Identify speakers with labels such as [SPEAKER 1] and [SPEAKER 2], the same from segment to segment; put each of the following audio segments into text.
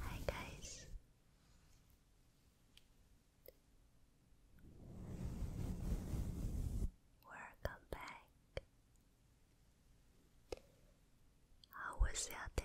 [SPEAKER 1] Hi guys. Welcome back. How was your day?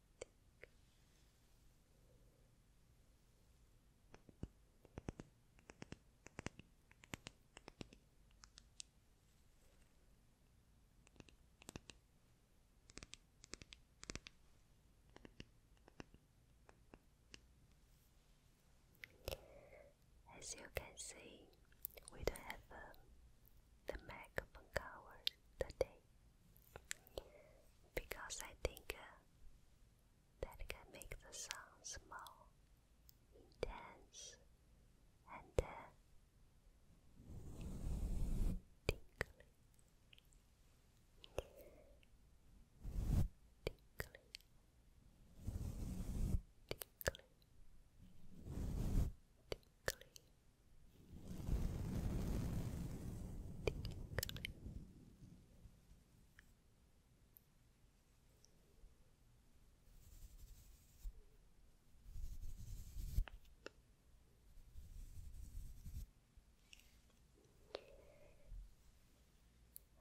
[SPEAKER 1] As you can see, we don't have um, the microphone covers the day because I think uh, that can make the sounds more intense and uh, tinkly. Tinkly. Tinkly. Tinkly.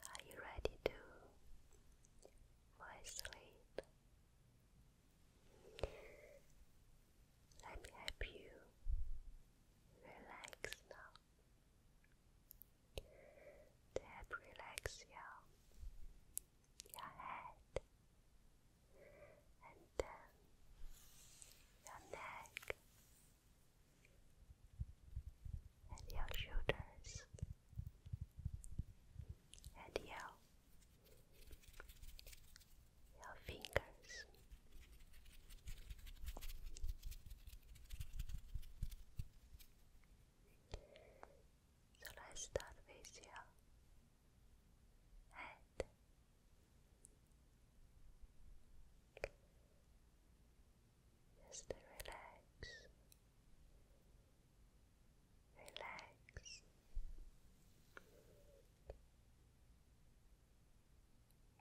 [SPEAKER 1] Are you ready to fall asleep? Let me help you relax now. To help relax your, your head and then your neck and your shoulders and your your fingers. So let's start with your head. Just relax, relax.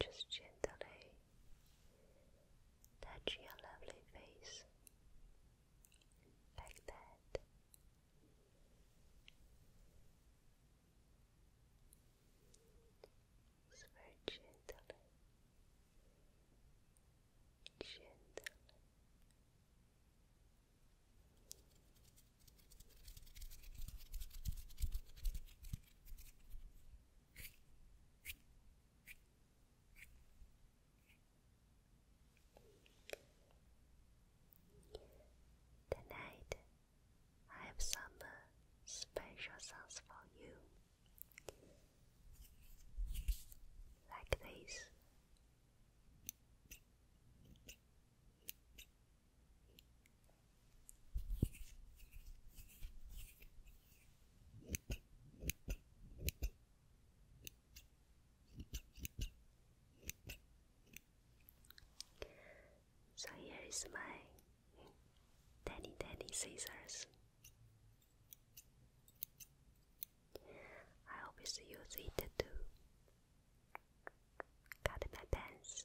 [SPEAKER 1] just gently touch your lovely face like that.
[SPEAKER 2] very gently, gently.
[SPEAKER 1] Tonight, I have some special songs for you, like this. So here is my tiny tiny scissors. I always use it to cut my pants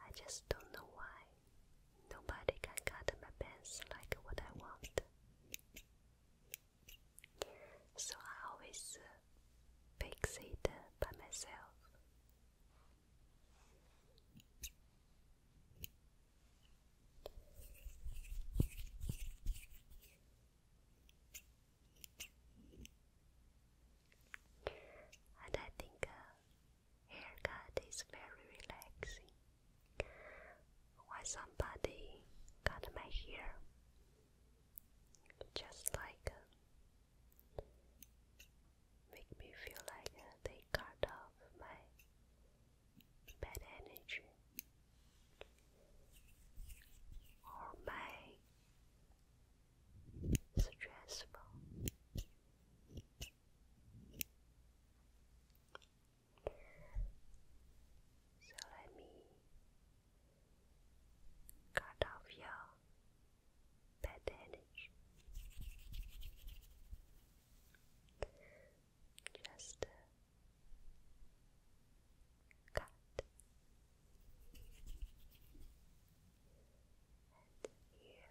[SPEAKER 1] I just don't know why. Nobody can cut my pants like what I want. So I always uh, fix it uh, by myself. And I think uh, haircut is very relaxing. Why somebody cut my hair? Just like uh, make me feel like uh, they cut off my bad energy or my stressful so let me cut off your bad energy. Just uh, cut and here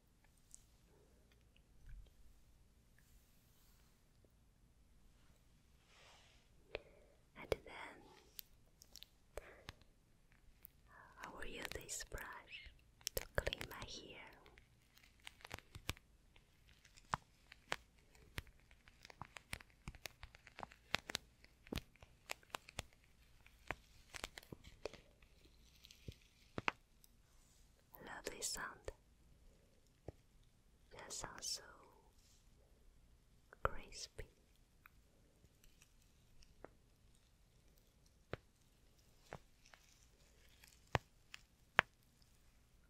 [SPEAKER 1] And then, I will use this brush to clean my hair. Lovely sound. That sounds so crispy.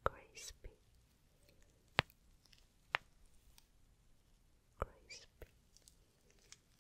[SPEAKER 1] Crispy.
[SPEAKER 2] Crispy.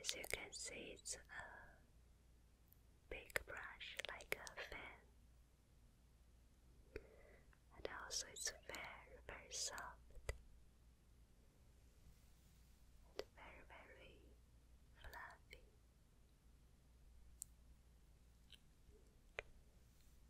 [SPEAKER 1] As you can see, it's a big brush like a fan, and also it's very, very soft and very, very fluffy.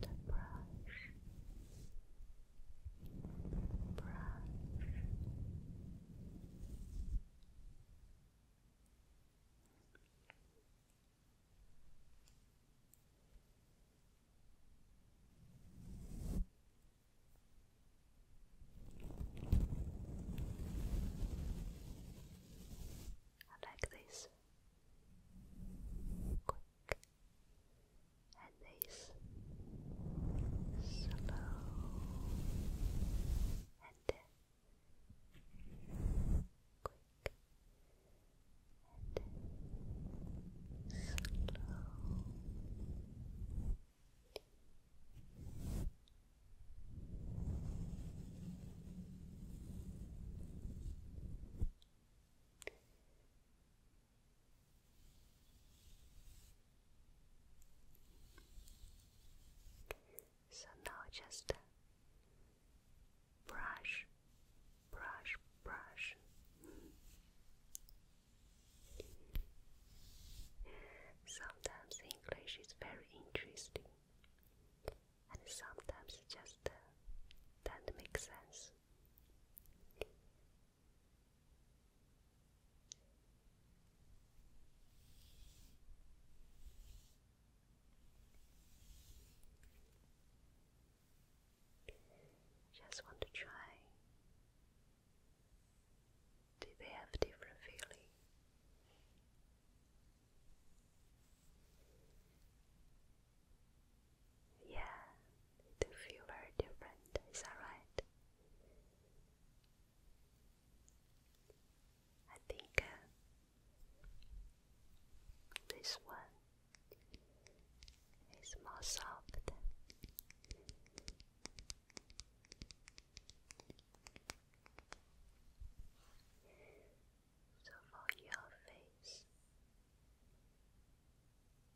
[SPEAKER 1] The brush brush I like this quick and they slow and quick and slow. So now just brush, brush, brush. Sometimes English is very interesting, and sometimes just uh, doesn't make sense. Just want to try. Do they have different feeling? Yeah, it feel very different, is that right? I think uh, this one is more soft. So for your face,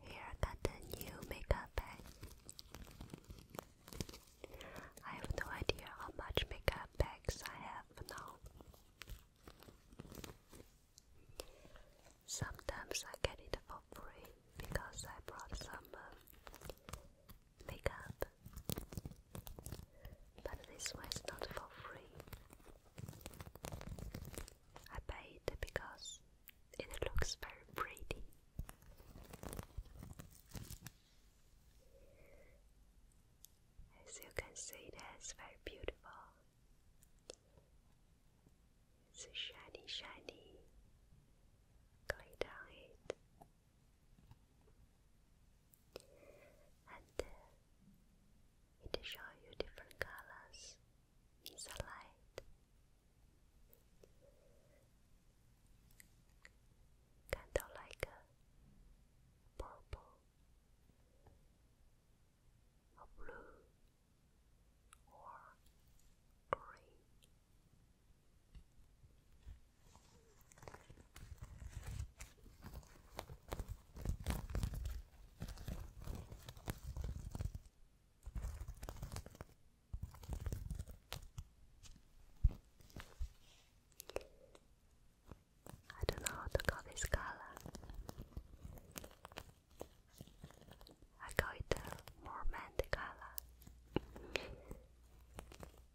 [SPEAKER 1] Here I got the new makeup bag. I have no idea how much makeup bags I have now. Sometimes I get it for free because I brought some um, makeup but this was not for free. I paid because it looks very pretty. As you can see, it is very beautiful. It's shiny, shiny. Going down it and uh, it shows you different colors in the light. Kind of like a purple or blue or green. I don't know how to call this color. I call it a more mandy color.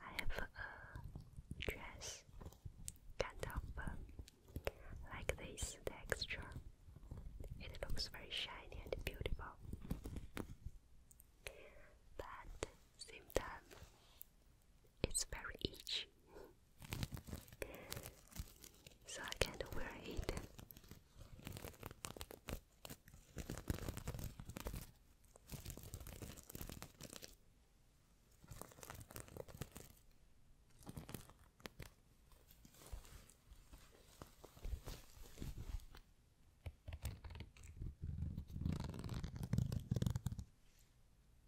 [SPEAKER 1] I have a dress kind of um, like this texture. It looks very shiny and beautiful. But same time it's very itchy, so I can't wear it.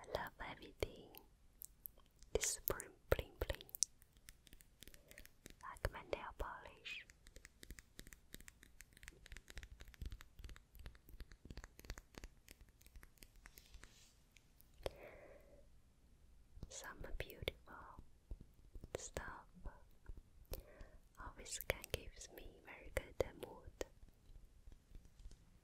[SPEAKER 1] I love everything. This bling bling bling. Like my nail polish. Some beautiful stuff always can gives me very good mood.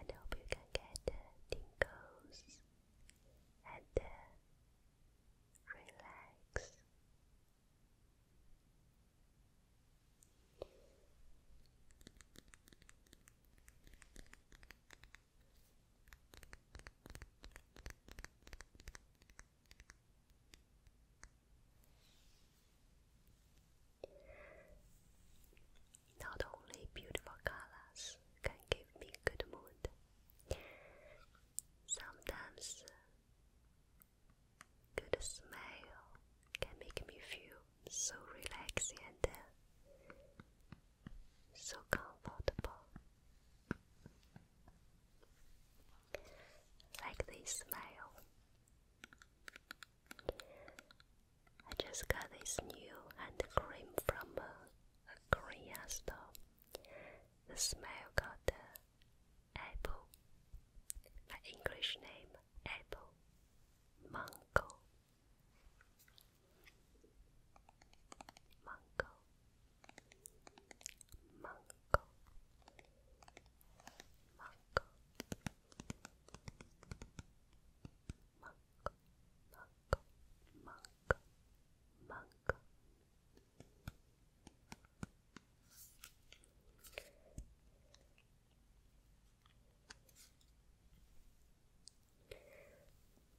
[SPEAKER 1] and hope you can get uh, tingles and uh, relax. Not only beautiful colors can give me good mood, sometimes good smell can make me feel so relaxing and uh, so comfortable. Like this smile. I just got this new hand cream from uh, a, Korean store. The smell got apple, my English name apple, mango, mango, mango, mango, monk, monk, monk.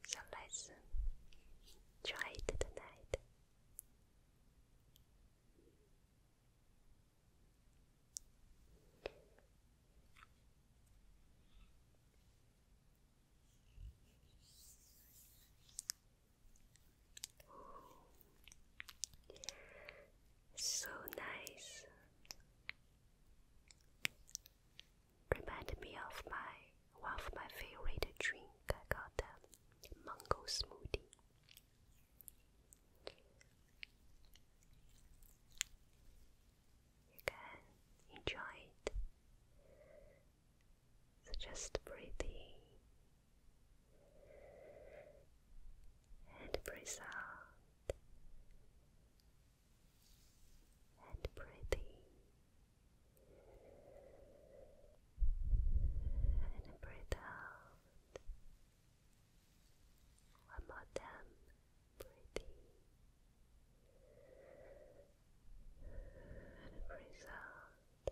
[SPEAKER 1] So let's uh, try it tonight. So nice. Reminded me of my one of my favorite drink. I got a mango smoothie. You can enjoy it. So just breathe in and breathe out and breathe in and breathe out. One more time, breathing and breathe out.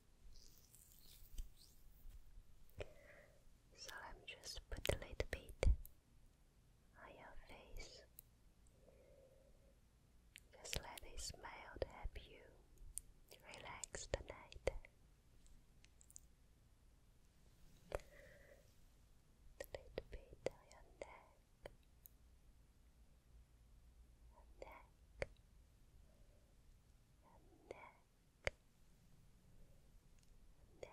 [SPEAKER 1] So let me just put a little bit on your face. Just let it smile help you relax tonight. A little bit on your neck.
[SPEAKER 2] Neck, and neck, neck. Neck,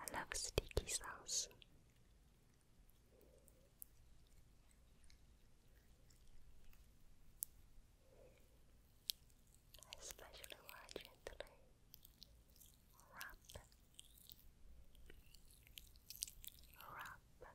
[SPEAKER 1] I love sticky sauce. Especially when I gently rub, rub, rub,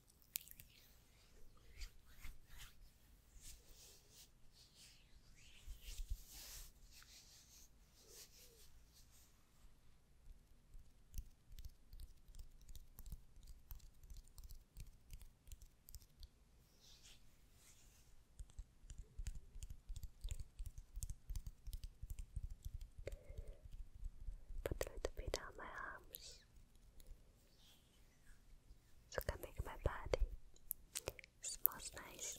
[SPEAKER 1] Put a little bit on my arms. So I can make my body smells nice.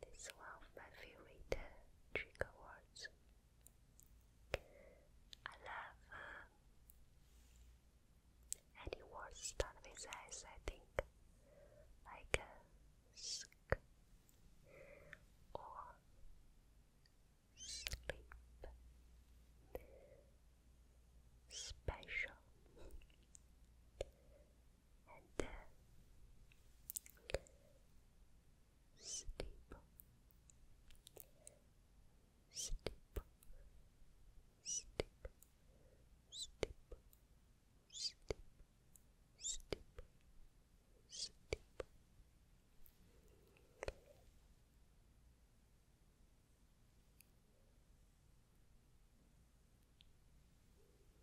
[SPEAKER 1] this one of my favorite trick trigger words. I love uh, any words start with S, I think, like sleep, special and uh, steeple, steeple, steeple, steeple, steeple, steeple, steeple.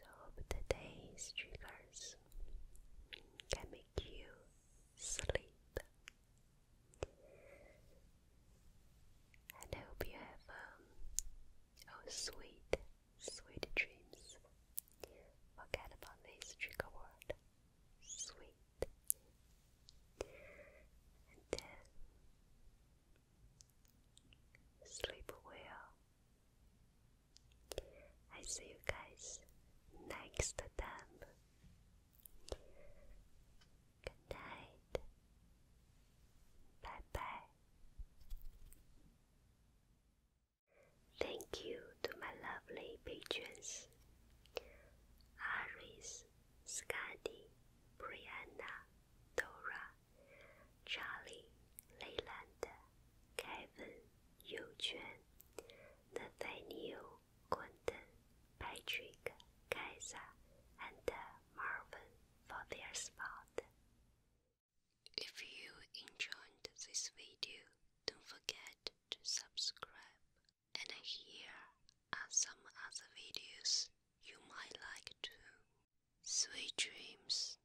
[SPEAKER 1] So hope today's triggers can make you sleep. And hope you have um, oh, sweet, sweet dreams. Forget about this trigger word, sweet. And then uh, sleep well. I see you guys next time. Good night. Bye bye. Thank you to my lovely patrons Aris, Scotty, Brianna, Dora, Charlie, Leyland, Kevin, Yu Nathaniel, Quentin, Patrick, Kaisa, and Marvin for their spot. If you enjoyed this video, don't forget to subscribe. And here are some other videos you might like too. Sweet dreams.